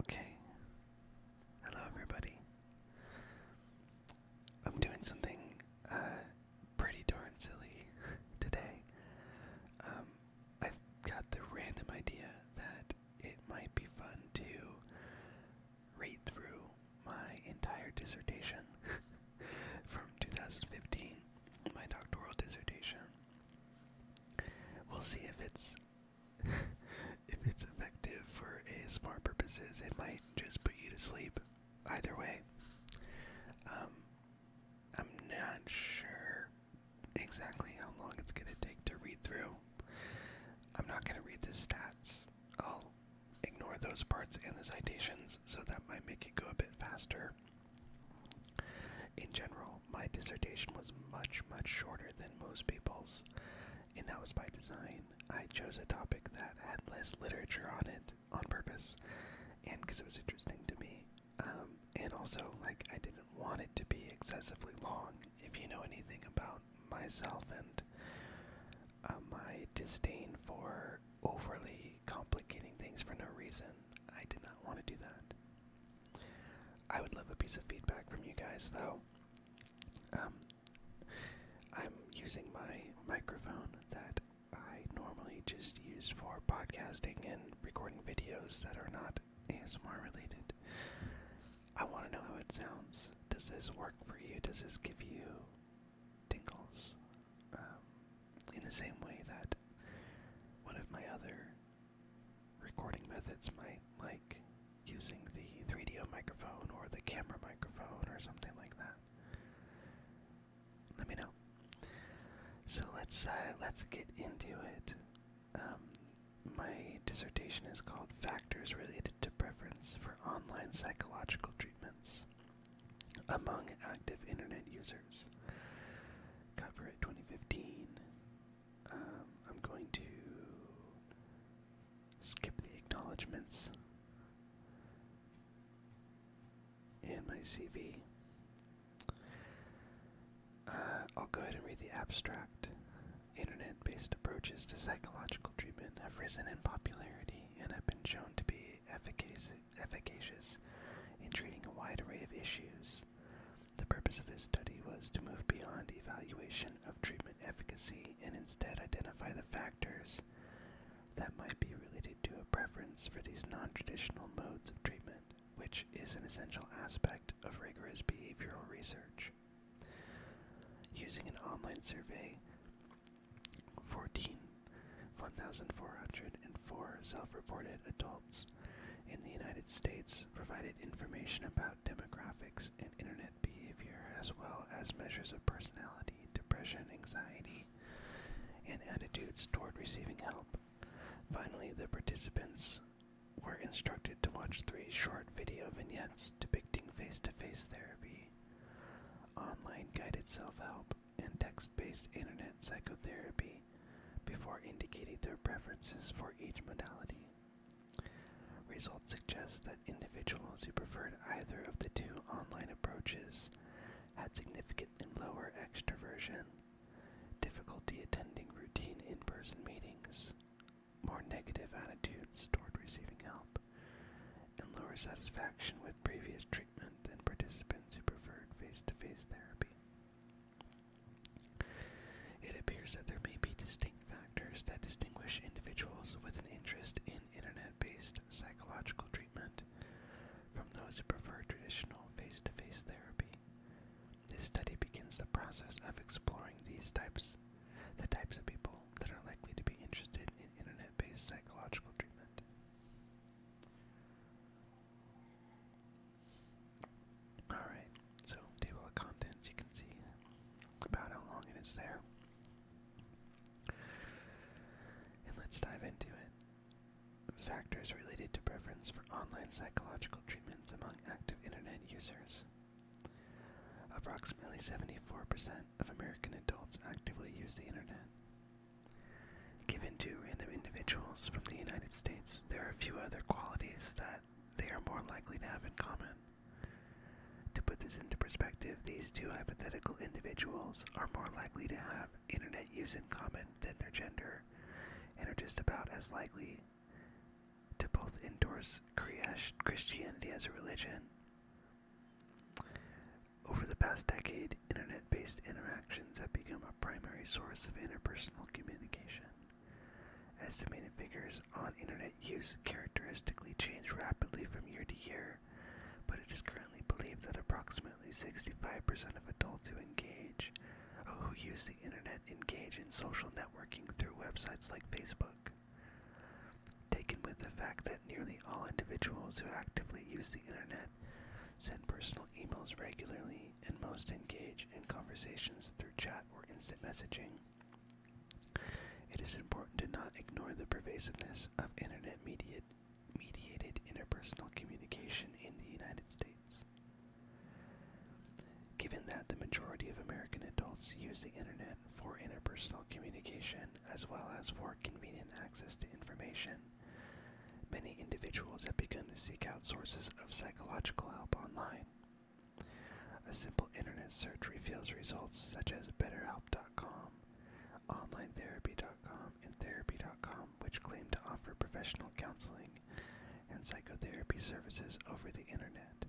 Okay. Hello, everybody. I'm doing something uh, pretty darn silly today. Um, I've got the random idea that it might be fun to read through my entire dissertation from 2015, my doctoral dissertation We'll see if it's if it's effective for ASMR purposes. It might just put you to sleep. Either way, um, I'm not sure exactly how long it's gonna take to read through. I'm not gonna read the stats. I'll ignore those parts and the citations, so that might make it go a bit faster. In general, my dissertation was much, much shorter than most people's, and that was by design. I chose a topic that had less literature on it on purpose, and because it was interesting to me. Um, and also, like, I didn't want it to be excessively long. If you know anything about myself and uh, my disdain for overly complicating things for no reason, I did not want to do that. I would love a piece of feedback from you guys, though. Um, I'm using my microphone that I normally just use for podcasting and recording videos that are not ASMR related. I want to know how it sounds. Does this work for you? Does this give you tingles? Um, in the same way that one of my other recording methods might, like using the 3 d microphone or the camera microphone or something like that. Let me know. So let's uh, let's get into it. Um, my dissertation is called "Factors Related to Preference for Online Psychological Treatments Among Active Internet Users." Cover it 2015. Um, I'm going to skip the acknowledgements and my CV. Uh, I'll go ahead and read the abstract. Internet based approaches to psychological treatment have risen in popularity and have been shown to be efficacious in treating a wide array of issues. The purpose of this study was to move beyond evaluation of treatment efficacy and instead identify the factors that might be related to a preference for these non traditional modes of treatment, which is an essential aspect of rigorous behavioral research. Using an online survey, 14, 1,404 self reported adults in the United States provided information about demographics and internet behavior, as well as measures of personality, depression, anxiety, and attitudes toward receiving help. Finally, the participants were instructed to watch three short video vignettes depicting face to face therapy, online guided self help, and text based internet psychotherapy before indicating their preferences for each modality. Results suggest that individuals who preferred either of the two online approaches had significantly lower extraversion, difficulty attending routine in-person meetings, more negative attitudes toward receiving help, and lower satisfaction with previous treatment than participants who preferred face to -face therapy. It appears that there may be distinct factors that distinguish individuals with an interest in internet based psychological treatment from those who prefer traditional face to face therapy. This study begins the process of exploring these types the types of people that are likely to be interested in internet based psychological treatment. Alright, so table of contents, you can see about how long it is there. And let's dive into it. Factors related to preference for online psychological treatments among active internet users. Approximately 74% of American adults actively use the internet given to random individuals from the United States, there are a few other qualities that they are more likely to have in common. To put this into perspective, these two hypothetical individuals are more likely to have internet use in common than their gender, and are just about as likely to both endorse Christianity as a religion. Over the past decade, internet based interaction have become a primary source of interpersonal communication. Estimated figures on internet use characteristically change rapidly from year to year, but it is currently believed that approximately 65% of adults who engage oh, who use the internet engage in social networking through websites like Facebook. Taken with the fact that nearly all individuals who actively use the internet send personal emails regularly and most engage in conversations through chat or instant messaging. It is important to not ignore the pervasiveness of internet mediated interpersonal communication in the United States. Given that the majority of American adults use the internet for interpersonal communication as well as for convenient access to information, many individuals have begun to seek out sources of psychological help online. A simple internet search reveals results such as BetterHelp.com, OnlineTherapy.com, and Therapy.com, which claim to offer professional counseling and psychotherapy services over the internet.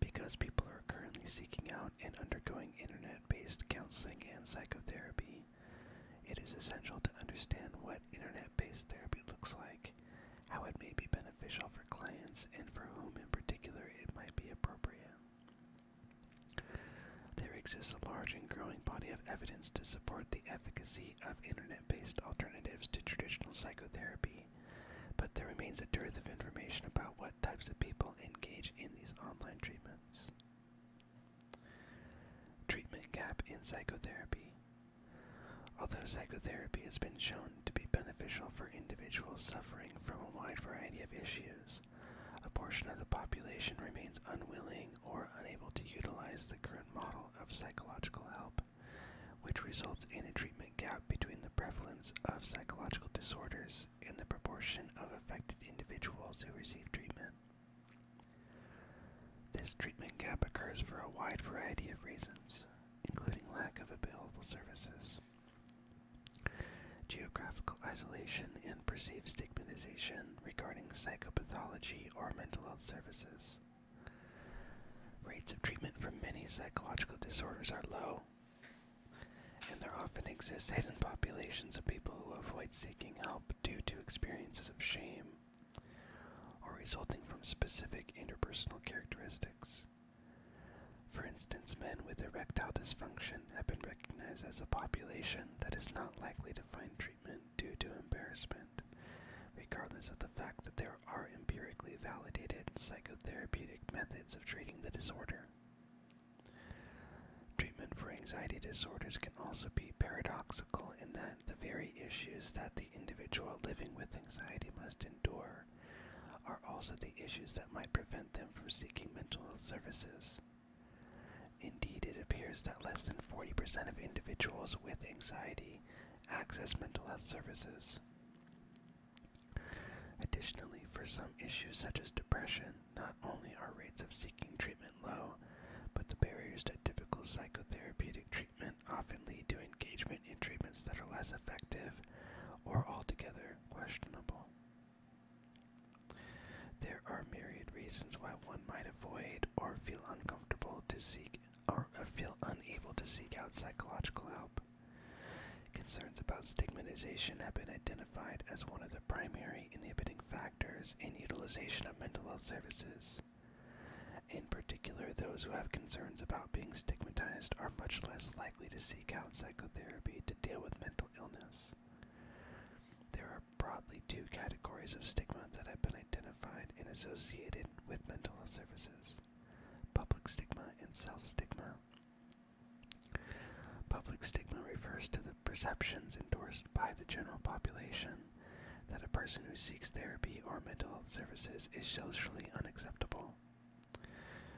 Because people are currently seeking out and undergoing internet based counseling and psychotherapy, it is essential to understand what internet based therapy looks like, how it may be beneficial for clients, and for whom in particular it might be appropriate. There exists a large and growing body of evidence to support the efficacy of internet-based alternatives to traditional psychotherapy, but there remains a dearth of information about what types of people engage in these online treatments. Treatment gap in psychotherapy. Although psychotherapy has been shown to be beneficial for individuals suffering from a wide variety of issues, a portion of the population remains unwilling or unable to utilize the current model of psychological help, which results in a treatment gap between the prevalence of psychological disorders and the proportion of affected individuals who receive treatment. This treatment gap occurs for a wide variety of reasons, including lack of available services, geographical isolation, and perceived stigmatization regarding psychopathology or mental health services. Rates of treatment for many psychological disorders are low, and there often exists hidden populations of people who avoid seeking help due to experiences of shame or resulting from specific interpersonal characteristics. For instance, men with erectile dysfunction have been recognized as a population that is not likely to find treatment due to embarrassment, regardless of the fact that there are empirically validated psychotherapeutic methods of treating the disorder. Treatment for anxiety disorders can also be paradoxical in that the very issues that the individual living with anxiety must endure are also the issues that might prevent them from seeking mental health services. Indeed, it appears that less than 40% of individuals with anxiety access mental health services. Additionally, for some issues such as depression, not only are rates of seeking treatment but the barriers to typical psychotherapeutic treatment often lead to engagement in treatments that are less effective or altogether questionable. There are myriad reasons why one might avoid or feel uncomfortable to seek or uh, feel unable to seek out psychological help. Concerns about stigmatization have been identified as one of the primary inhibiting factors in utilization of mental health services. In particular, those who have concerns about being stigmatized are much less likely to seek out psychotherapy to deal with mental illness. There are broadly two categories of stigma that have been identified and associated with mental health services public stigma and self stigma. Public stigma refers to the perceptions endorsed by the general population that a person who seeks therapy or mental health services is socially unacceptable.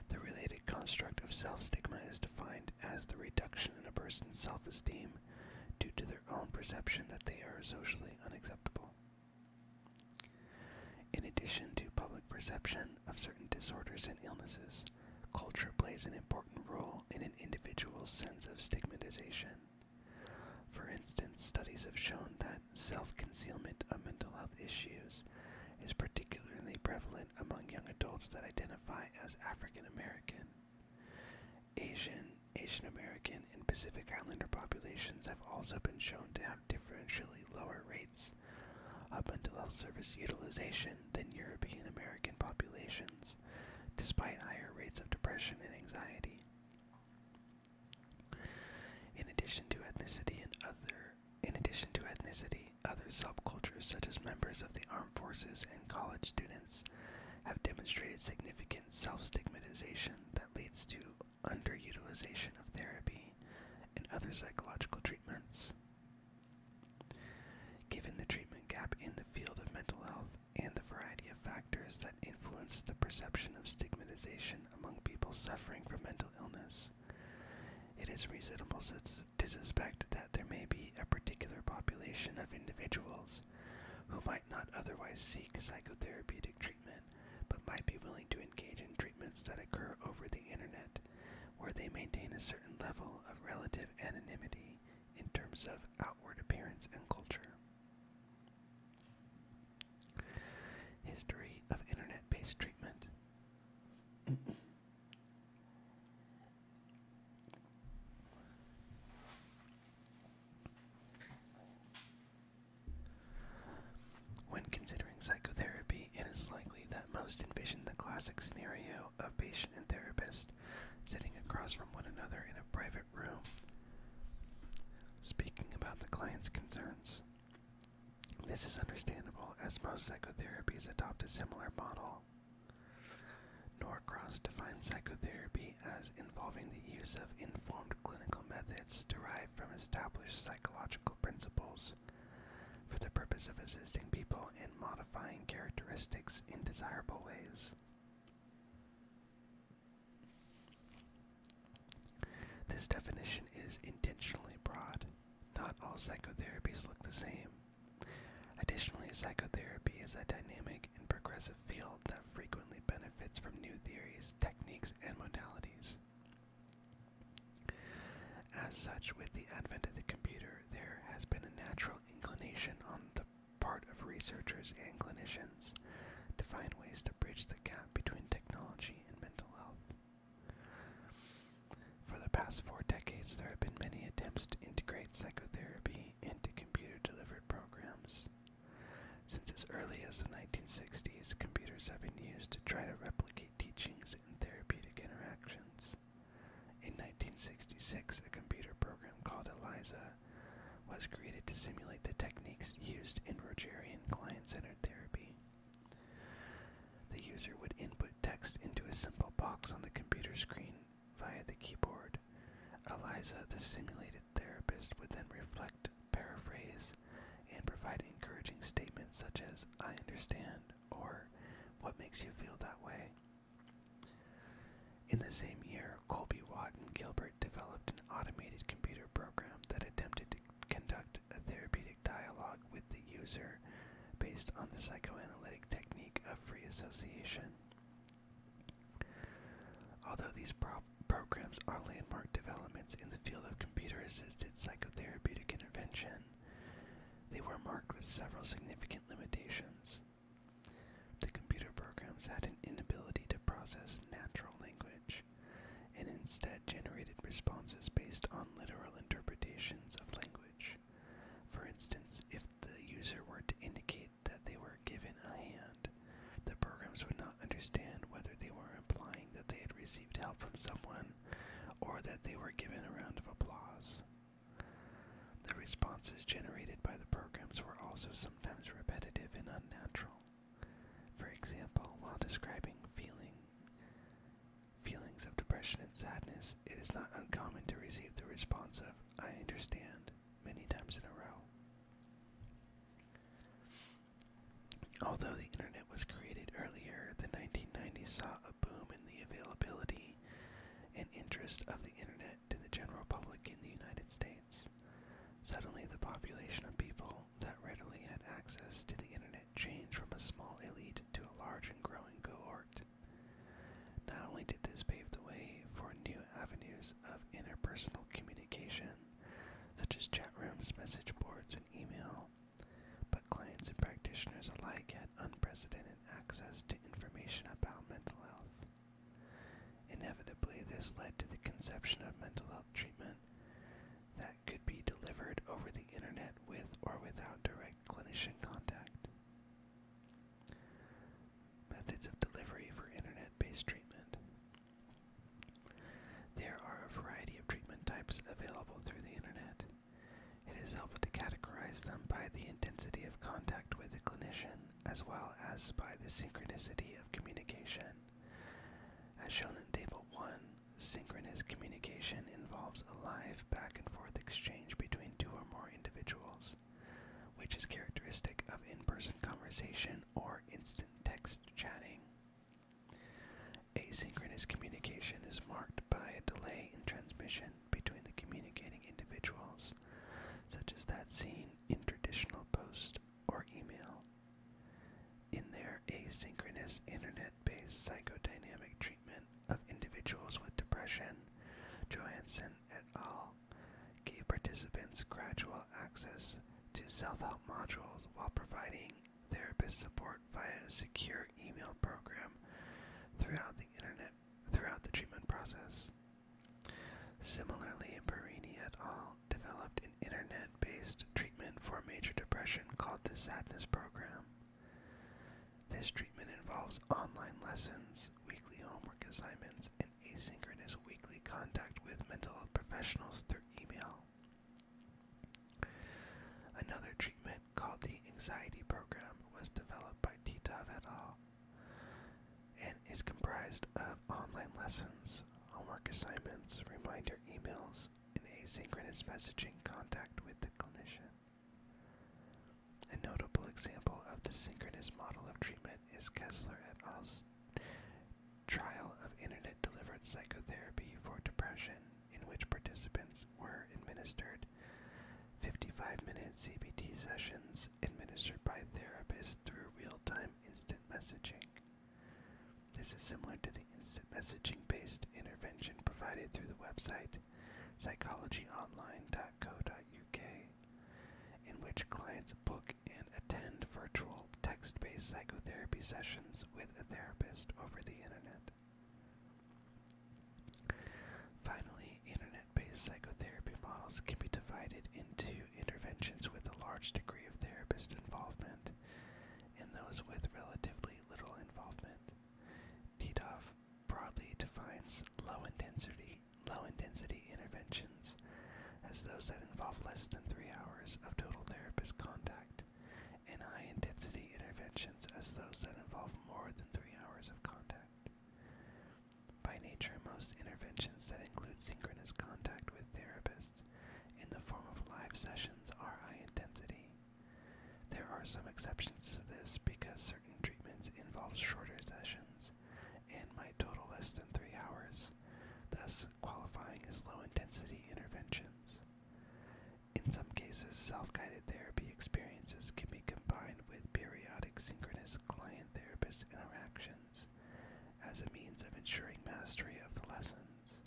The related construct of self stigma is defined as the reduction in a person's self esteem due to their own perception that they are socially unacceptable. In addition to public perception of certain disorders and illnesses, culture plays an important role in an individual's sense of stigmatization. For instance, studies have shown that self-concealment of mental health issues is particularly prevalent among young adults that identify as African American. Asian, Asian American, and Pacific Islander populations have also been shown to have differentially lower rates of mental health service utilization than European American populations, despite higher rates of depression and anxiety. In addition to ethnicity and other in addition to ethnicity, other subcultures such as members of the armed forces and college students have demonstrated significant self-stigmatization that leads to underutilization of therapy and other psychological treatments. Given the treatment gap in the field of mental health, and the variety of factors that influence the perception of stigmatization among people suffering from mental illness. It is reasonable to suspect that there may be a particular population of individuals who might not otherwise seek psychotherapeutic treatment but might be willing to engage in treatments that occur over the internet where they maintain a certain level of relative anonymity in terms of outward appearance and culture. History of internet based treatment. When considering psychotherapy, it is likely that most envision the classic scenario of patient and therapist sitting across from one another in a private room Speaking about the client's concerns, this is understandable as most psychotherapies adopt a similar model. Norcross defines psychotherapy as involving the use of informed clinical methods derived from established psychological principles for the purpose of assisting people in modifying characteristics in desirable ways. This definition is intentionally broad. Not all psychotherapies look the same. Additionally, psychotherapy is a dynamic and progressive field that frequently benefits from new theories, techniques, and modalities. As such, with the advent of the computer, there has been a natural inclination on the part of researchers and clinicians to find ways to bridge the gap between technology and mental health. For the past four decades, there have been many attempts to integrate psychotherapy into computer delivered programs. Since as early as the 1960s, computers have been used to try to replicate teachings and therapeutic interactions. In 1966, a computer program called ELIZA was created to simulate the techniques used in Rogerian client centered therapy. The user would input text into a simple box on the computer screen via the keyboard. Eliza, the simulated therapist, would then reflect, paraphrase, and provide encouraging statements such as, I understand, or, What makes you feel that way? In the same year, Colby Watt and Gilbert developed an automated computer program that attempted to conduct a therapeutic dialogue with the user based on the psychoanalytic technique of free association. Although these programs are landmark developments in the field of computer assisted psychotherapeutic intervention, they were marked with several significant limitations. The computer programs had an inability to process natural language and instead generated responses based on literal interpretations of language. For instance, if the user were to indicate that they were given a hand, the programs would not understand whether they were implying that they had received help from someone or that they were given a round of applause. The responses generated by the programs were also sometimes repetitive and unnatural. For example, while describing feeling feelings of depression and sadness, it is not uncommon to receive the response of I understand many times in a row. Although the internet was created earlier, the 1990s saw a boom in the availability and interest of the internet to the general public in the United States. Suddenly, the population of people that readily had access to the internet changed from a small elite to a large and growing cohort. Not only did this pave the way for new avenues of interpersonal communication, such as chat rooms, message boards, and email, but clients and practitioners alike had unprecedented access to information about mental health. Inevitably, this led to the conception of mental health treatment that could be delivered over the internet with or without direct clinician contact. Methods of delivery for internet based treatment. There are a variety of treatment types available through the internet. It is helpful to categorize them by the intensity of contact with the clinician as well as by the synchronicity of communication. As shown in Table 1, synchronous communication involves a live back and forth exchange between two or more individuals, which is characteristic of in person conversation or instant text chatting. Asynchronous communication is marked by a delay in transmission between the communicating individuals, such as that seen in traditional post or email. In their asynchronous internet based psychodynamic treatment of individuals with depression, Johansen et al. gave participants gradual access to self help modules while providing therapist support via a secure email program throughout the internet throughout the treatment process. Similarly, Perini et al. developed an internet-based treatment for major depression called the Sadness Program. This treatment involves online lessons, weekly homework assignments, and asynchronous weekly contact with mental health professionals through email. Another treatment called the Anxiety Program was developed by Titov et al and is comprised of online lessons, homework assignments, reminder emails, and asynchronous messaging contact with the clinician. A notable example of the synchronous model of treatment is Kessler et al.'s trial of internet delivered psychotherapy for depression, in which participants were administered 55 minute CBT sessions administered by therapists through real-time instant messaging. This is similar to the instant messaging-based intervention provided through the website psychologyonline.co.uk, in which clients book and attend virtual text-based psychotherapy sessions with a therapist over the internet. Finally, internet based psychotherapy models can be divided into interventions with a large degree of therapist involvement and those with relatively little involvement. Didoff broadly defines low intensity low intensity interventions as those that involve less than three hours of total therapist contact, and high intensity interventions as those that involve more than three hours of contact. By nature, most interventions that include synchronous contact with therapists in the form of live sessions are high intensity. There are some exceptions to this because certain treatments involve shorter sessions and might total less than three hours, thus qualifying as low intensity interventions. In some cases, self guided therapy experiences can be combined with periodic synchronous client therapist interactions as a means of ensuring mastery of the lessons,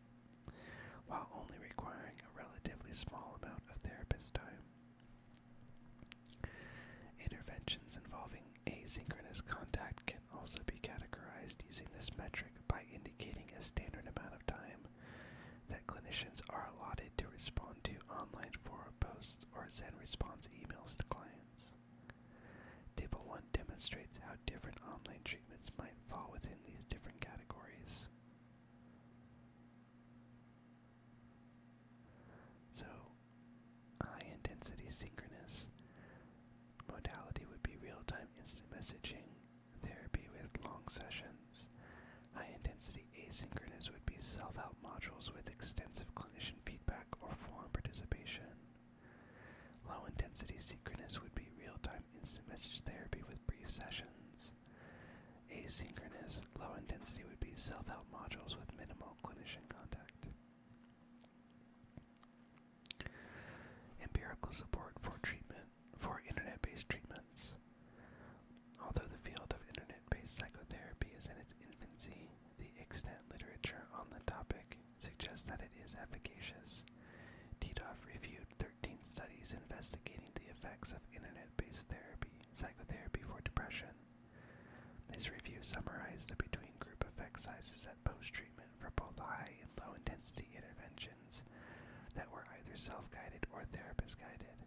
while only requiring a relatively small amount of therapist time. Interventions involving asynchronous contact can also be categorized using this metric by indicating a standard amount of time that clinicians are allotted to respond to online forum posts or send response emails to clients. Table 1 demonstrates how different online treatments might fall within these different categories. So, high intensity synchronous modality would be real time instant messaging therapy with long sessions. High intensity asynchronous would be self help modules with extensive clinician feedback or forum participation. Low intensity synchronous would be real time instant message therapy with brief sessions. Asynchronous low intensity would be self help modules with minimal clinician contact. Empirical support for treatment for internet based treatments. Although the field of internet based psychotherapy is in its infancy, the extant literature on the topic suggests that it is efficacious. Tidoff reviewed 13 studies investigating the effects of internet-based therapy, psychotherapy for depression. This review summarized the between-group effect sizes at post-treatment for both high and low-intensity interventions that were either self-guided or therapist-guided.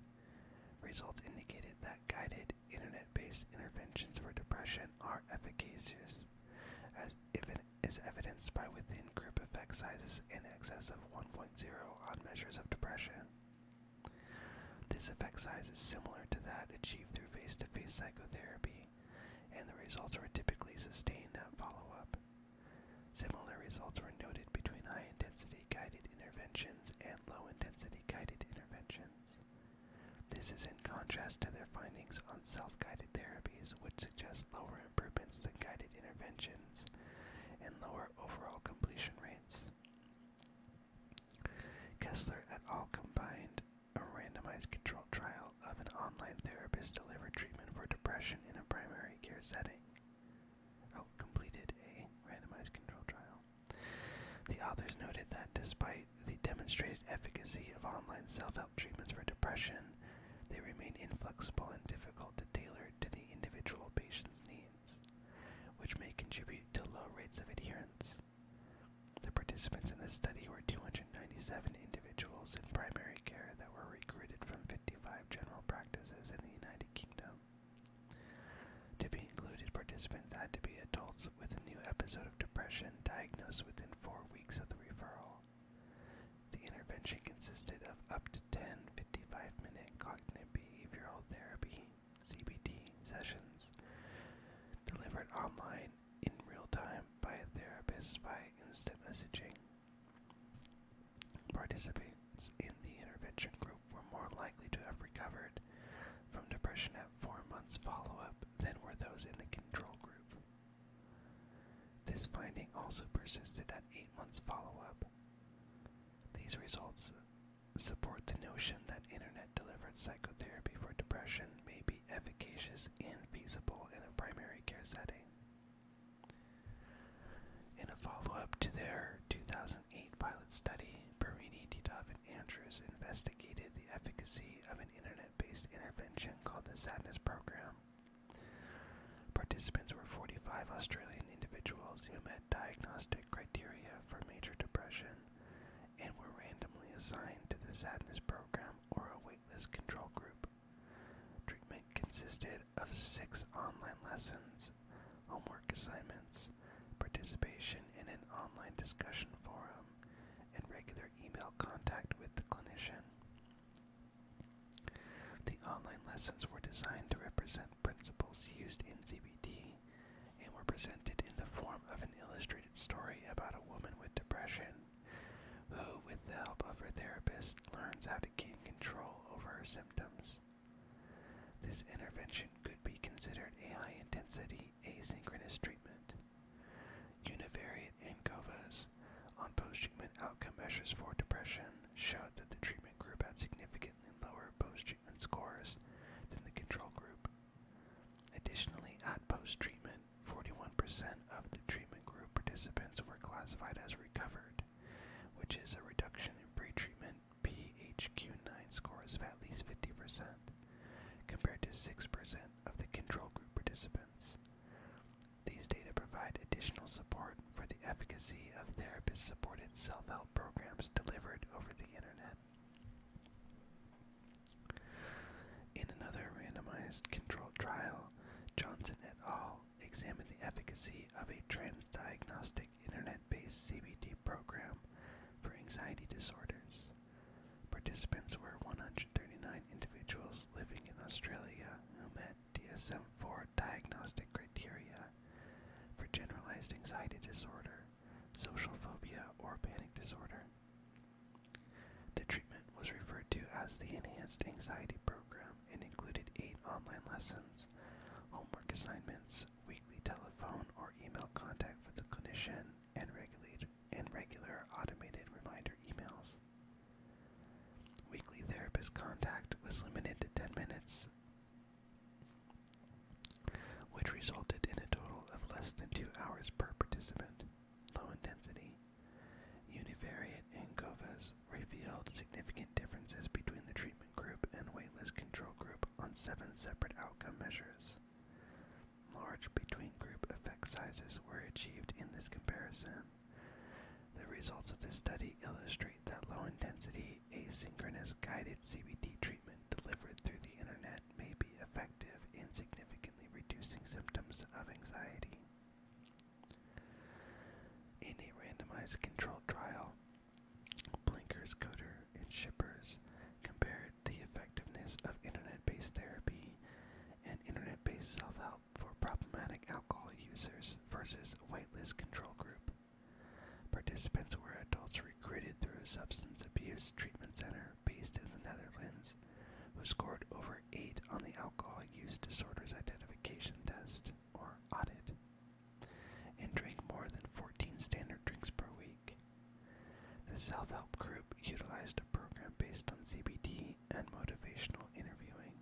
Results indicated that guided internet-based interventions for depression are efficacious, as if it is evidenced by within group effect sizes in excess of 1.0 on measures of depression. This effect size is similar to that achieved through face-to-face psychotherapy, and the results were typically sustained at follow-up. Similar results were noted between high-intensity guided interventions and low-intensity guided interventions. This is in contrast to their findings on self guided therapies, which suggest lower improvements than guided interventions and lower overall completion rates. Kessler et al. combined a randomized control trial of an online therapist delivered treatment for depression in a primary care setting. Oh, completed a randomized control trial. The authors noted that despite the demonstrated efficacy of online self help treatments for depression, they remain inflexible and difficult to tailor to the individual patient's needs, which may contribute to low rates of adherence. The participants in this study were 297 individuals in primary care that were recruited from 55 general practices in the United Kingdom. To be included, participants had to be adults with a new episode of depression diagnosed within four weeks of the referral. The intervention consisted of up to 10 55-minute cognitive behavioral therapy (CBT) sessions delivered online in real time by therapists therapist by instant messaging. Participants in the intervention group were more likely to have recovered from depression at four months follow-up than were those in the control group. This finding also persisted at eight months follow-up. These results support the notion that internet-delivered psychotherapy for depression may be efficacious and feasible in a primary care setting. In a follow-up to their 2009 2008 pilot study, Perini, Titov, and Andrews investigated the efficacy of an internet based intervention called the Sadness Program. Participants were 45 Australian individuals who met diagnostic criteria for major depression and were randomly assigned to the Sadness Program or a waitlist control group. Treatment consisted of six online lessons, homework assignments, participation in an online discussion forum, and regular email contact with the clinician. The online lessons were designed to represent principles used in CBT and were presented in the form of an illustrated story about a woman with depression who, with the help of her therapist, learns how to gain control over her symptoms. This intervention could be considered a high intensity asynchronous treatment. Univariate ANCOVAs on post-treatment outcome measures for depression showed that the treatment group had significantly lower post-treatment scores than the control group. Additionally, at post-treatment, 41% of the treatment group participants were classified as recovered, which is a reduction in pre-treatment PHQ9 scores of at least 50%, compared to 6% of the control group participants. These data provide additional support for the efficacy of therapist supported self help programs delivered over the internet. In another randomized controlled trial, Johnson et al. examined the efficacy of a transdiagnostic internet-based CBT program for anxiety disorders. Participants were 139 individuals living in Australia who met DSM-4 diagnostic criteria for generalized anxiety disorder, social phobia, or panic disorder. The treatment was referred to as the Enhanced Anxiety Program and included eight online lessons, homework assignments, weekly telephone or email contact with the clinician, and, regulate, and regular automated reminder emails. Weekly therapist contact was limited to 10 minutes, which resulted in a total of less than two hours per participant. Low intensity. Univariate and COVAs revealed significant differences between the treatment group and weightless control group on seven separate outcome measures. Large between-group effect sizes were achieved in this comparison. The results of this study illustrate that low-intensity, asynchronous guided CBT treatment delivered through the internet may be effective in significantly reducing symptoms of anxiety. In a randomized controlled trial, Blinkers, Coder, and Shippers compared the effectiveness of internet based therapy and internet based self help for problematic alcohol users versus a whitelist control group. Participants were adults recruited through a substance abuse treatment center based in the Netherlands who scored over 8 on the Alcohol Use Disorders Identification Test, or AUDIT, and drank more than 14 standard drinks per week. The self help group utilized a program based on CBT and motivational interviewing.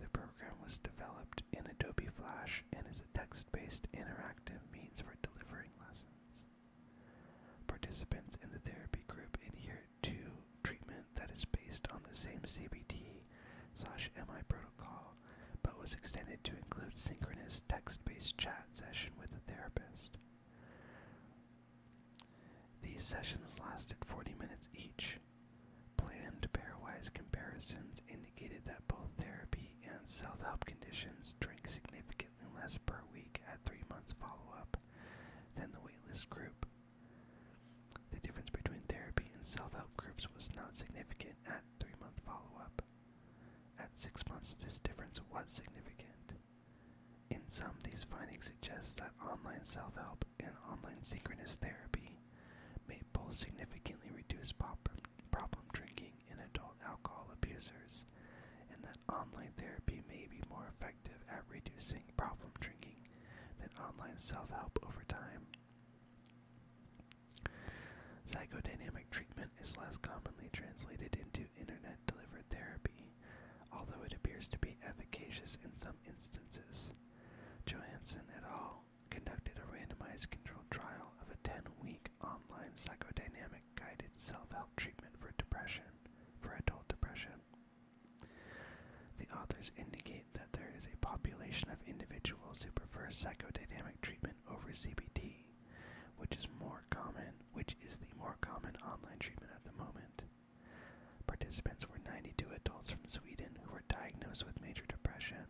The program was developed in Adobe Flash and is a text based interactive means for delivering lessons. Participants in the therapy group adhere to treatment that is based on the same CBT slash MI protocol but was extended to include synchronous text-based chat session with a therapist. These sessions lasted 40 minutes each. Planned pairwise comparisons indicated that both therapy and self-help conditions drank significantly less per week at three months follow-up than the waitlist group. The difference between therapy and self-help groups was not significant at three-month follow-up. At six months, this difference was significant. In sum, these findings suggest that online self help and online synchronous therapy may both significantly reduce problem drinking in adult alcohol abusers, and that online therapy may be more effective at reducing problem drinking than online self help over time. Psychodynamic treatment is less commonly translated into internet delivered therapy, although it appears to be efficacious in some instances. Johansson et al. conducted a randomized controlled trial of a 10 week online psychodynamic guided self help treatment for depression, for adult depression. The authors indicate that there is a population of individuals who prefer psychodynamic treatment over CBT which is more common, which is the more common online treatment at the moment. Participants were 92 adults from Sweden who were diagnosed with major depression.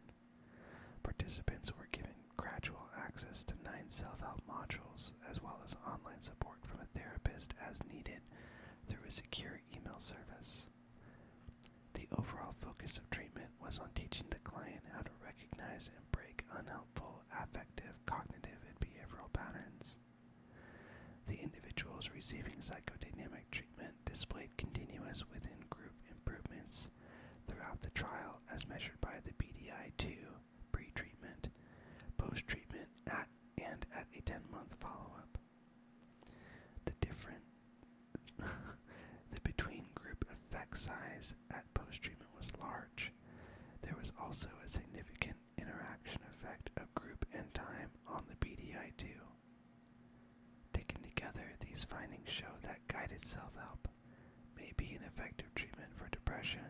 Participants were given gradual access to nine self-help modules as well as online support from a therapist as needed through a secure email service. The overall focus of treatment was on teaching the client how to recognize and break unhelpful affective, cognitive, and behavioral patterns. The individuals receiving psychodynamic treatment displayed continuous within group improvements throughout the trial as measured by the BDI 2 pre treatment, post treatment, at, and at a 10 month follow up. The different The between group effect size at post treatment was large. There was also a significant interaction effect of group and time on the BDI2. Taken together, these findings show that guided self help may be an effective treatment for depression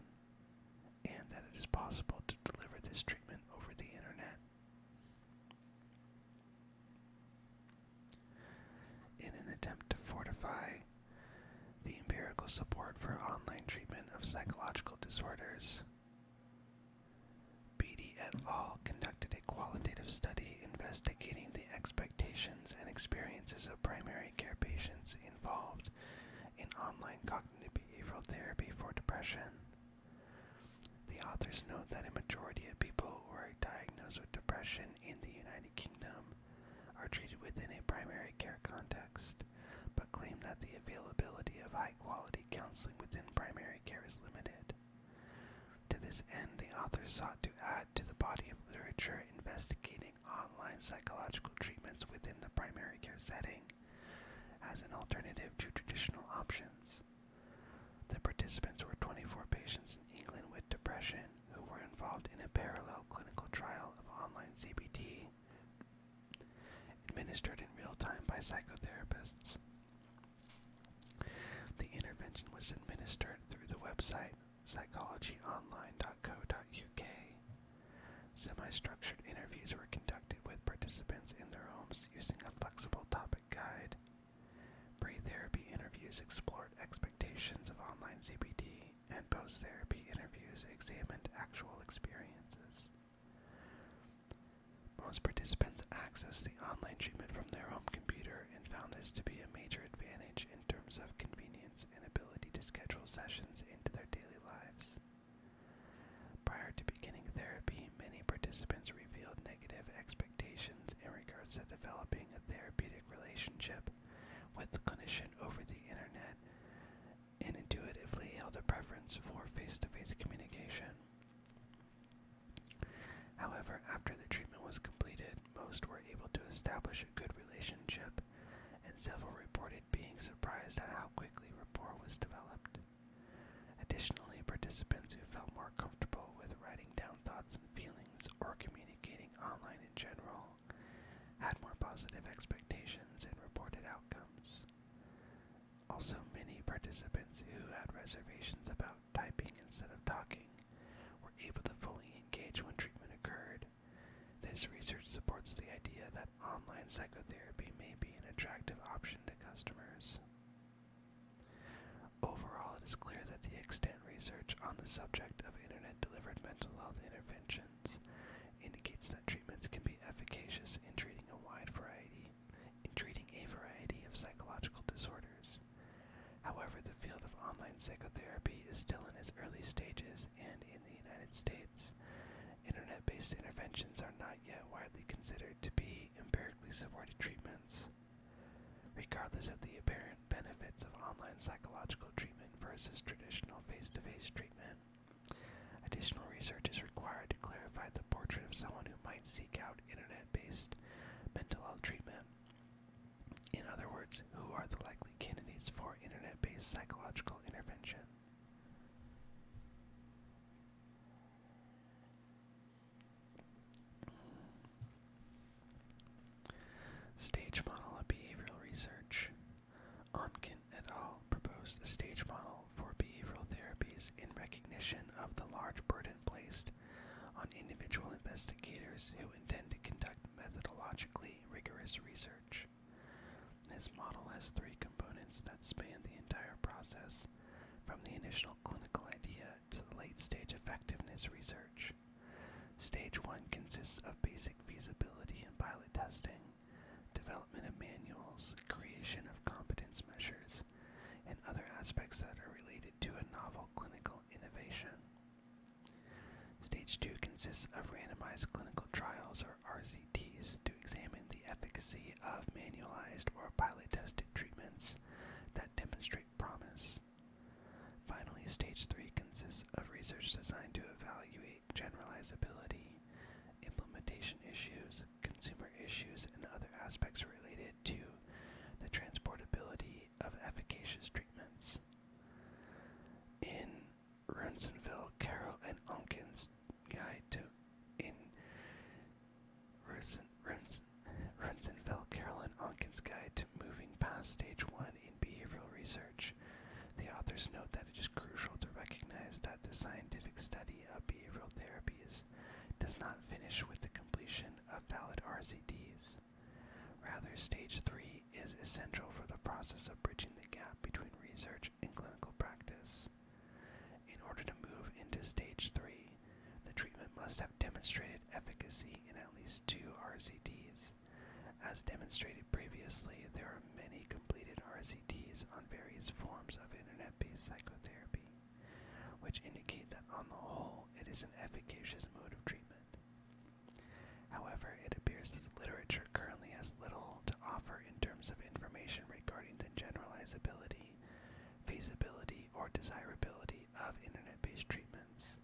and that it is possible to deliver this treatment over the internet. In an attempt to fortify the empirical support for online treatment of psychological disorders, Beatty et al. conducted a qualitative study investigating the expectations and experiences of primary care patients involved in online cognitive behavioral therapy for depression. The authors note that a majority of people who are diagnosed with depression in the United Kingdom are treated within a primary care context, but claim that the availability of high quality counseling within primary care is limited. To this end, the authors sought to add to the body of literature investigating online psychological treatments within the primary care setting as an alternative to traditional options. The participants were 24 patients in England with depression who were involved in a parallel clinical trial of online CBT administered in real time by psychotherapists. The intervention was administered through the website psychologyonline.co.uk. Semi structured interviews were conducted with participants in their homes using a flexible topic guide. Pre-therapy interviews explored expectations of online CBT, and post-therapy interviews examined actual experiences. Most participants accessed the online treatment from their home computer and found this to be a major advantage in terms of convenience and ability to schedule sessions into their daily lives. Prior to beginning therapy, many participants revealed negative expectations in regards to developing a therapeutic relationship with the clinician over the internet and intuitively held a preference for face to -face communication. However, after the treatment was completed, most were able to establish a good relationship, and several reported being surprised at how quickly rapport was developed. Additionally, participants who felt more comfortable with writing down thoughts and feelings or communicating online in general, had more positive expectations and reported outcomes. Also, many participants who had reservations about typing instead of talking were able to fully engage when treatment occurred. This research supports the idea that online psychotherapy may be an attractive option to customers. Overall, it is clear that the extent research on the subject of internet delivered mental health interventions indicates that treatments can be efficacious in treating a wide variety in treating a variety of psychological disorders. However, the field of online psychotherapy is still in its early stages and in the United States, internet-based interventions are not yet widely considered to be empirically supported treatments. Regardless of the apparent benefits of online psychological treatment versus traditional face to face treatment, additional research is required to clarify the portrait of someone who might seek out internet based mental health treatment. In other words, who are the likely candidates for internet based psychological intervention? Stage model of behavioral research. Onken et al. proposed the stage model for behavioral therapies in recognition of the large burden placed on individual investigators who intend to conduct methodologically rigorous research. This model has three components that span the entire process, from the initial clinical idea to late stage effectiveness research. Stage 1 consists of basic feasibility and pilot testing, development of manuals, creation of competence measures, and other aspects that are related to a novel clinical innovation. Stage 2 consists of randomized clinical trials or RCTs to examine the efficacy of manualized or pilot tested treatments that demonstrate promise. Finally, stage three consists of research designed to evaluate generalizability, implementation issues, consumer issues, and other aspects related to the transportability of efficacious treatments. In Runsonville, Carroll, and Onken's Guide to in Runsonville, Carroll, and Onken's Guide moving past stage one in behavioral research. The authors note that it is crucial to recognize that the scientific study of behavioral therapies does not finish with the completion of valid RCTs. Rather, stage three is essential for the process of bridging the gap between research and clinical practice. In order to move into stage three, the treatment must have demonstrated efficacy in at least two RCTs. As demonstrated previously, there are many completed RCDs on various forms of internet-based psychotherapy, which indicate that on the whole it is an efficacious mode of treatment. However, it appears that the literature currently has little to offer in terms of information regarding the generalizability, feasibility, or desirability of internet-based treatments.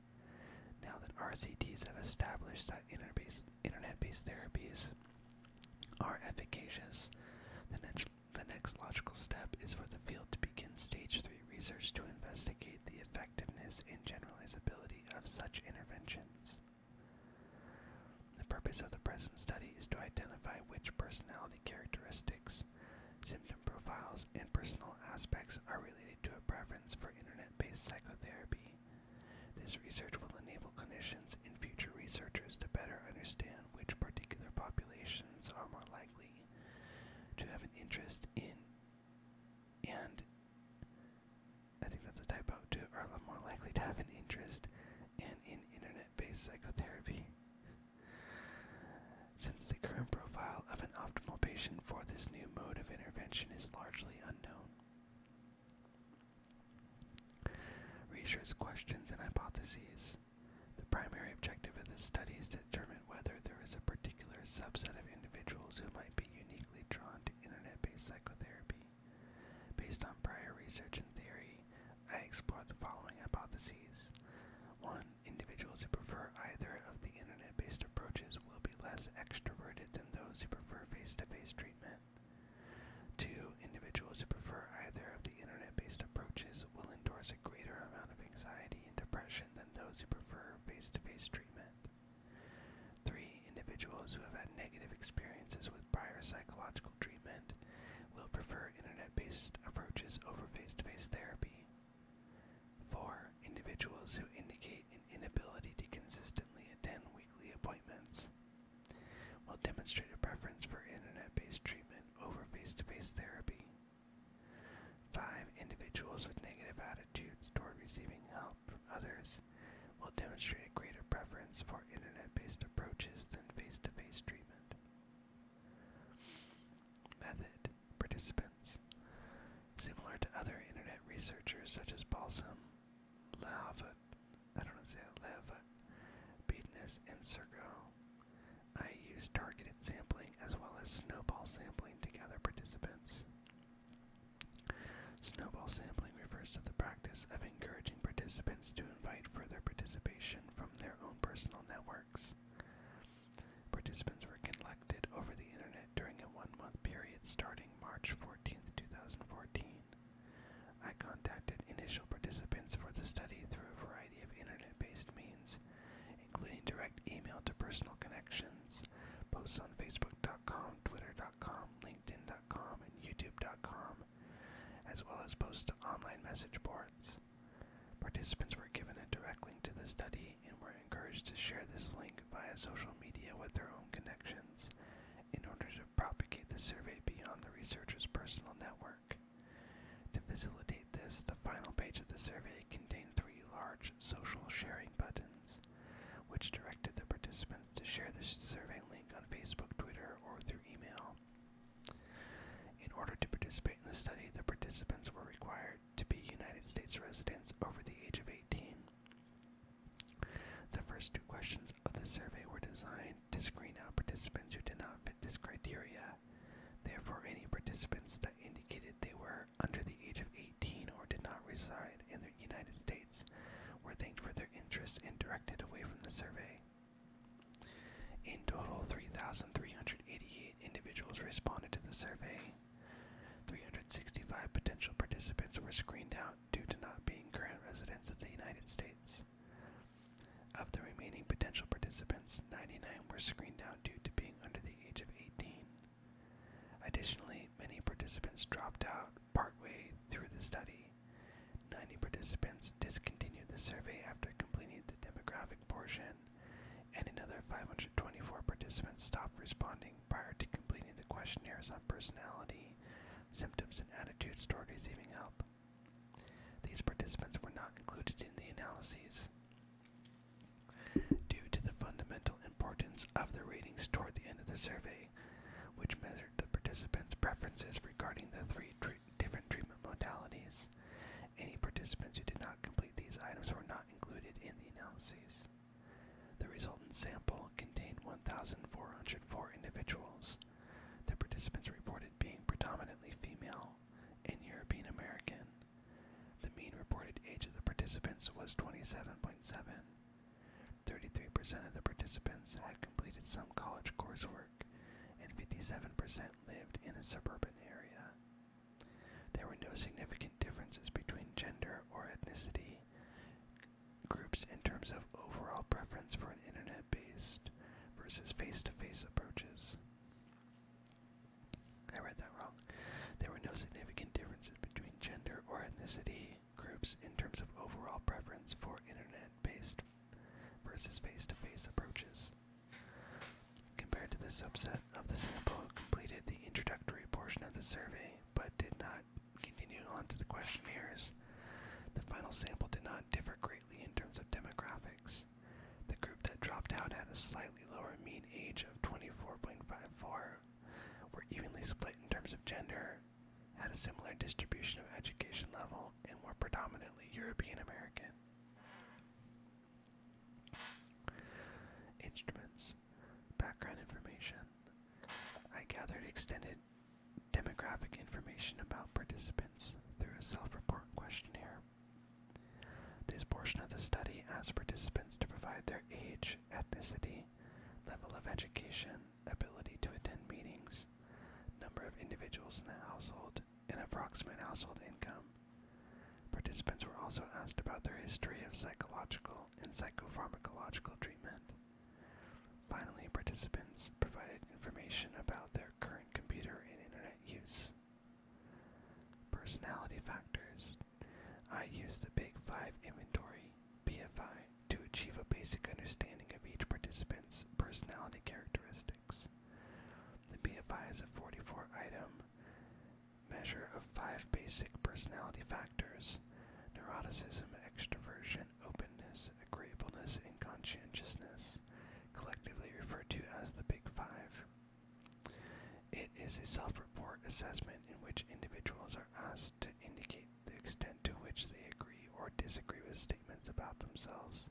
Now that RCTs have established that internet-based therapies are efficacious, the next logical step is for the field to begin stage 3 research to investigate the effectiveness and generalizability of such interventions. The purpose of the present study is to identify which personality characteristics Symptom profiles and personal aspects are related to a preference for internet based psychotherapy. This research will enable clinicians and future researchers to better understand which particular populations are more likely to have an interest in and I think that's a typo too, are more likely to have an interest and in internet based psychotherapy since the current profile of an optimal patient for this new mode of intervention is largely unknown. Research questions and hypotheses. The primary objective of this study is to determine whether there is a particular subset of individuals who might be uniquely drawn to internet-based psychotherapy. Based on prior research and theory, I explore the following hypotheses. 1 individuals who prefer either of the internet based approaches will be less extroverted than those who prefer face to face treatment. Two, individuals who prefer either of the internet based approaches will endorse a greater amount of anxiety and depression than those who prefer face to face treatment. Three, individuals who have had negative experiences with prior psychological treatment will prefer internet based approaches over face to face therapy. Four, individuals who indicate an inability to consistently attend weekly appointments will demonstrate a preference for internet-based treatment over face-to-face therapy. Five, individuals with negative attitudes toward receiving help from others will demonstrate a greater preference for internet-based approaches than face-to-face -face treatment. Method participants. Similar to other internet researchers such as Balsam, Leavitt, I don't say it, Leavitt, and Sergo, I used targeted sampling as well as snowball sampling to gather participants. Snowball sampling refers to the practice of encouraging participants to invite further participation from their own personal network Participants were collected over the internet during a one month period starting March 14, 2014. I contacted initial participants for the study through a variety of internet based means, including direct email to personal connections, posts on Facebook.com, Twitter.com, LinkedIn.com, and YouTube.com, as well as posts to online message boards. Participants were given a direct link to the study and were encouraged to share this link via social media with their own connections in order to propagate the survey beyond the researcher's personal network. To facilitate this, the final page of the survey contained three large social sharing buttons, which directed the participants to share the survey link on Facebook, Twitter, or through email. In order to participate in the study, the participants were required to be United States residents over the age of 18. The first two questions of the survey were designed to screen out participants who did not fit this criteria. Therefore, any participants that indicated they were under the age of 18 or did not reside in the United States were thanked for their interest and directed away from the survey. In total, 3,388 individuals responded to the survey. 365 potential participants were screened out due to not being current residents of the United States. Of the remaining potential participants, 99 were screened out due to being under the age of 18. Additionally, many participants dropped out partway through the study. 90 participants discontinued the survey after completing the demographic portion, and another 524 participants stopped responding prior to completing the questionnaires on personality, symptoms, and attitudes toward receiving help. These participants were not included in the analyses. Due to the fundamental importance of the ratings toward the end of the survey, which measured the participants' preferences regarding the three different treatment modalities, any participants who did not complete these items were not included in the analyses. The resultant sample contained 1,404 individuals. The participants reported being predominantly female and European American. The mean reported age of the participants was 27.7. 33% of the participants had completed some college coursework, and 57% lived in a suburban area. There were no significant differences between gender or ethnicity groups in terms of overall preference for an internet based versus face to face approaches. I read that wrong. There were no significant differences between gender or ethnicity groups in terms of overall preference for internet based versus face to face approaches. Compared to the subset of the sample who completed the introductory portion of the survey but did not continue on to the questionnaires, the final sample did not differ greatly in terms of demographics. The group that dropped out had a slightly lower mean age of 24.54, were evenly split in terms of gender, had a similar distribution of education level, and were predominantly European American. Instruments, background information. I gathered extended demographic information about participants through a self-report questionnaire. This portion of the study asked participants to provide their age, ethnicity, level of education, ability to attend meetings, number of individuals in the household, and approximate household income, Participants were also asked about their history of psychological and psychopharmacological treatment. Finally, participants provided information about their current computer and internet use. Personality factors. I used the Big Five Inventory, BFI, to achieve a basic understanding of each participant's personality characteristics. The BFI is a 44 item measure of five basic personality factors neuroticism, extroversion, openness, agreeableness, and conscientiousness, collectively referred to as the Big Five. It is a self report assessment in which individuals are asked to indicate the extent to which they agree or disagree with statements about themselves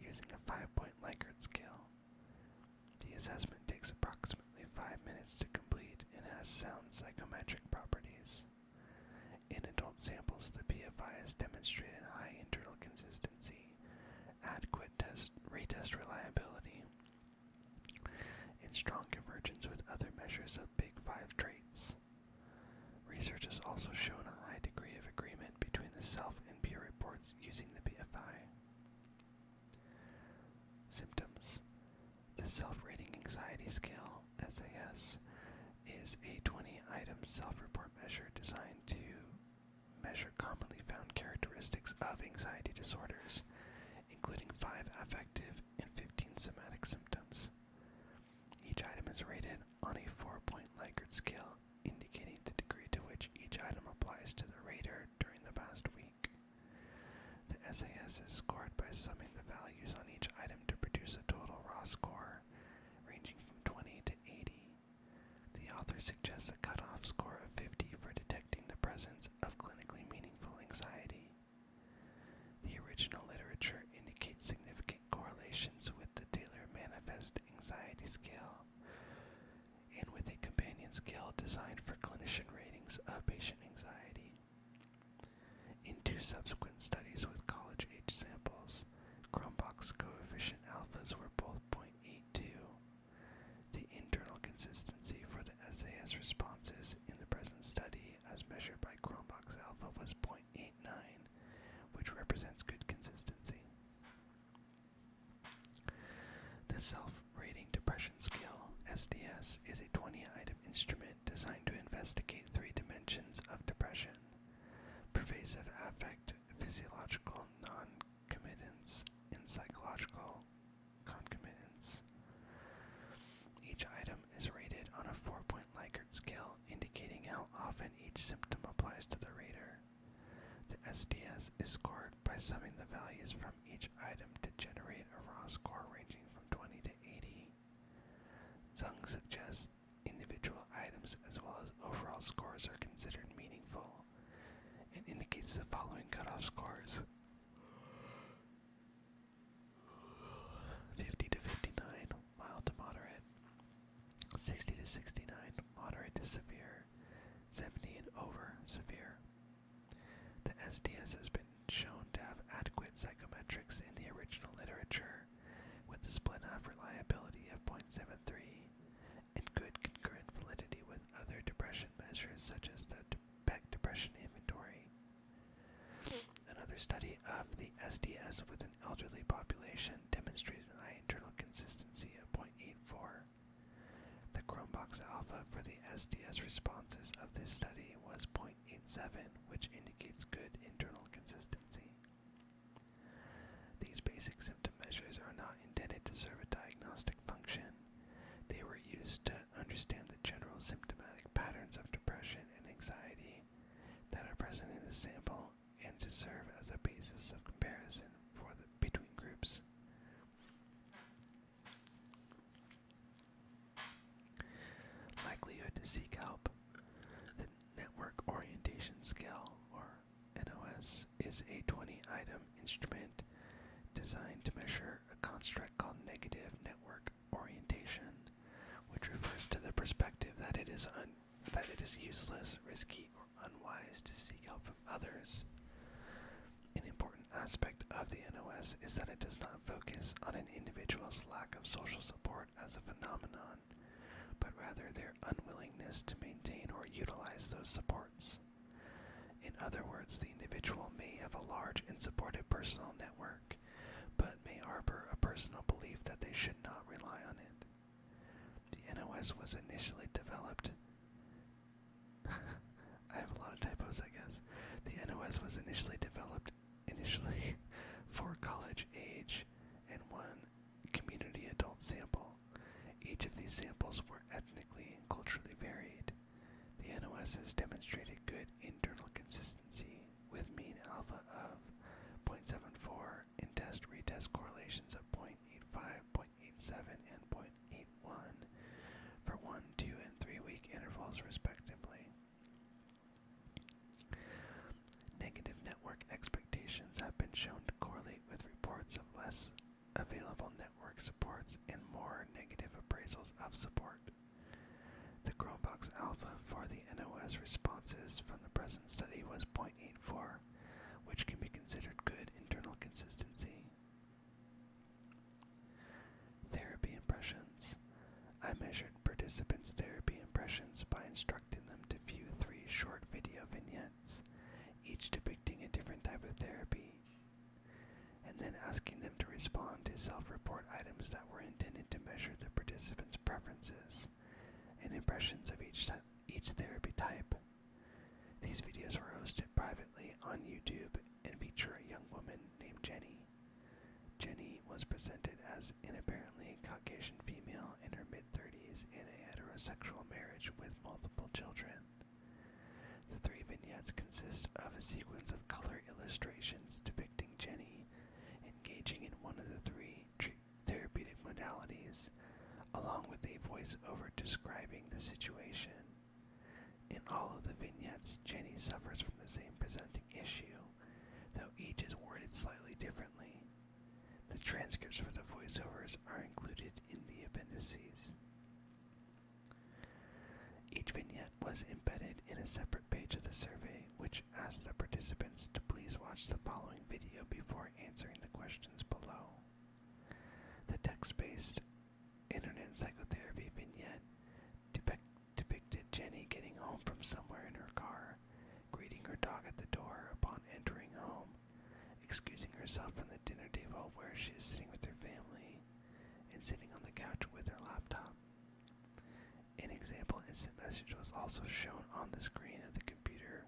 using a five point Likert scale. The assessment takes approximately five minutes to complete and has sound psychometric properties. In adult samples, the PFI has demonstrated high internal consistency, adequate retest reliability, and strong convergence with other measures of Big Five traits. Research has also shown a high degree of agreement between the self and peer reports using the PFI. Symptoms The self rating anxiety scale, SAS, is a 20 item self report measure designed to measure commonly found characteristics of anxiety disorders, including 5 affective and 15 somatic symptoms. Each item is rated on a 4 point Likert scale, indicating the degree to which each item applies to the rater during the past week. The SAS is scored by summing the values on each item to produce a total raw score ranging from 20 to 80. The author suggests a cutoff score of 50 for detecting the presence of clinically meaningful anxiety. The original literature indicates significant correlations with the Taylor Manifest Anxiety Scale, and with a companion scale designed for clinician ratings of patient anxiety. In two subsequent studies with college age samples, Cronbach's coefficient alphas were both 0.82. The internal consistency for the SAS responses in the present study, as measured by Cronbach's alpha, was 0.89, which represents good consistency. The Self-Rating Depression Scale, SDS, is a 20-item instrument designed to investigate three dimensions of depression. Pervasive affect, physiological non-committance, and psychological concomitants. Each item is rated on a four-point Likert scale, indicating how often each symptom applies to the reader. The SDS is scored by summing the values from each item to generate a raw score ranging from 20 to 80. Zung suggests individual items as well as overall scores are considered meaningful and indicates the following cutoff scores 50 to 59, mild to moderate, 60 to 69, moderate to severe, 70 and over severe. The SDS has been shown to have adequate psychometrics in the original literature, with a split-off reliability of 0.73 and good concurrent validity with other depression measures such as the Beck Depression Inventory. Another study of the SDS with an elderly population demonstrated an internal consistency of 0.84 the Chromebox alpha for the SDS responses of this study was 0.87, which indicates good internal consistency. These basic symptom measures are not intended to serve a diagnostic function. They were used to understand the general symptomatic patterns of depression and anxiety that are present in the sample and to serve as a basis of comparison for the between groups. Likelihood to seek help. The Network Orientation Scale, or NOS, is a 20 item instrument designed to measure a construct called negative network orientation, which refers to the perspective that it is, that it is useless, risky, unwise to seek help from others. An important aspect of the NOS is that it does not focus on an individual's lack of social support as a phenomenon, but rather their unwillingness to maintain or utilize those supports. In other words, the individual may have a large and supportive personal network, but may harbor a personal belief that they should not rely on it. The NOS was initially developed I have a lot of typos, I guess. The NOS was initially developed initially for college age and one community adult sample. Each of these samples were ethnically and culturally varied. The NOS has demonstrated good internal consistency with mean alpha of 0.74 in test retest correlations of 0.85, 0.87, and 0.89 for one, two, and three week intervals, respectively. Negative network expectations have been shown to correlate with reports of less available network supports and more negative appraisals of support. The Chromebox alpha for the NOS responses from the present study was 0.84, which can be considered good internal consistency. Therapy impressions. I measured participants' therapy impressions by instructing them to view three short video vignettes, each depicting a different type of therapy, and then asking them to respond to self report items that were intended to measure the participants' preferences and impressions of each, each therapy type. These videos were hosted privately on YouTube and feature a young woman named Jenny. Jenny was presented as an apparently Caucasian female in her mid 30s in a heterosexual marriage with multiple children. The three vignettes consist of a sequence of color illustrations depicting Jenny engaging in one of the three therapeutic modalities along with a voiceover describing the situation. In all of the vignettes, Jenny suffers from the same presenting issue, though each is worded slightly differently. The transcripts for the voiceovers are included in the appendices. Each vignette was embedded in a separate page of the survey, which asked the participants to please watch the following video before answering the questions below. The text-based internet psychotherapy vignette depicted Jenny getting home from somewhere in her car, greeting her dog at the door upon entering home, excusing herself from the dinner table where she is sitting with her family, and sitting on the couch with her laptop. An example instant message was also shown on the screen of the computer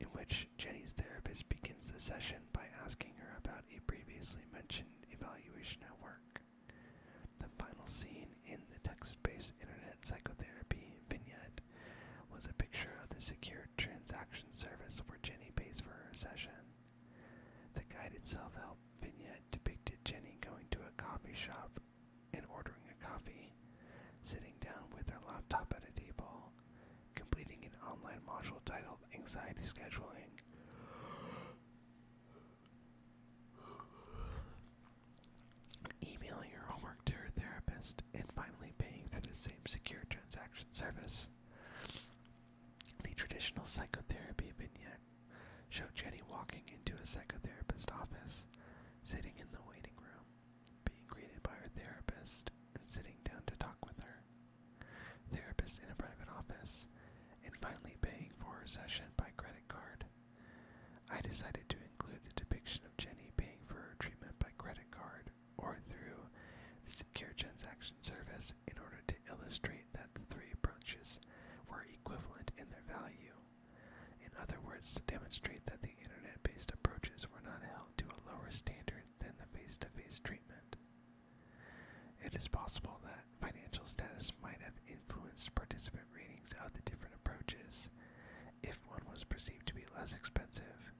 in which Jenny's therapist begins the session by asking her about a previously mentioned evaluation at work. The final scene in the text based internet psychotherapy vignette was a picture of the secure transaction service where Jenny pays for her session. The guided self help vignette depicted Jenny going to a coffee shop and ordering a coffee, sitting down with her laptop at a table, completing an online module titled Anxiety Scheduling. Emailing your homework to your therapist, and finally paying through the same secure transaction service. The traditional psychotherapy vignette showed Jenny walking into a psychotherapist's office, sitting in the waiting room being greeted by her therapist, and sitting down to talk with her. Therapist in a private office, and finally paying for her session by credit card. I decided to include the depiction of Jenny paying for her treatment by credit card or through the Secure Transaction Service in order to illustrate that the three approaches were equivalent in their value. In other words, to demonstrate that the internet based approaches were not held to a lower standard than the face-to-face -face treatment. It is possible that financial status might have influenced participant ratings of the different approaches, if one was perceived to be less expensive.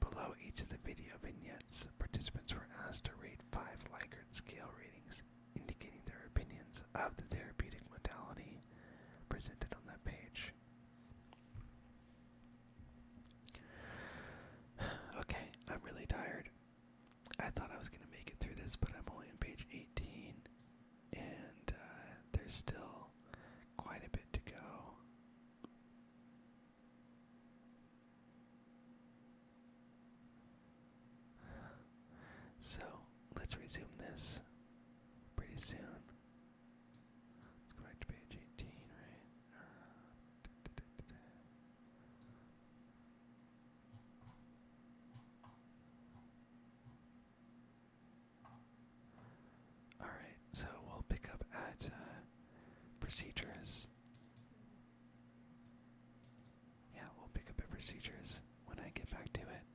Below each of the video vignettes, participants were asked to rate five Likert scale ratings indicating their opinions of the therapeutic modality presented on that page. okay, I'm really tired. I thought I was going to make it through this, but I'm only on page 18, and uh, there's still quite a bit to go. So let's resume this pretty soon. Let's go back to page 18, right? Uh, all right, so we'll pick up at uh, procedures. Yeah, we'll pick up at procedures when I get back to it.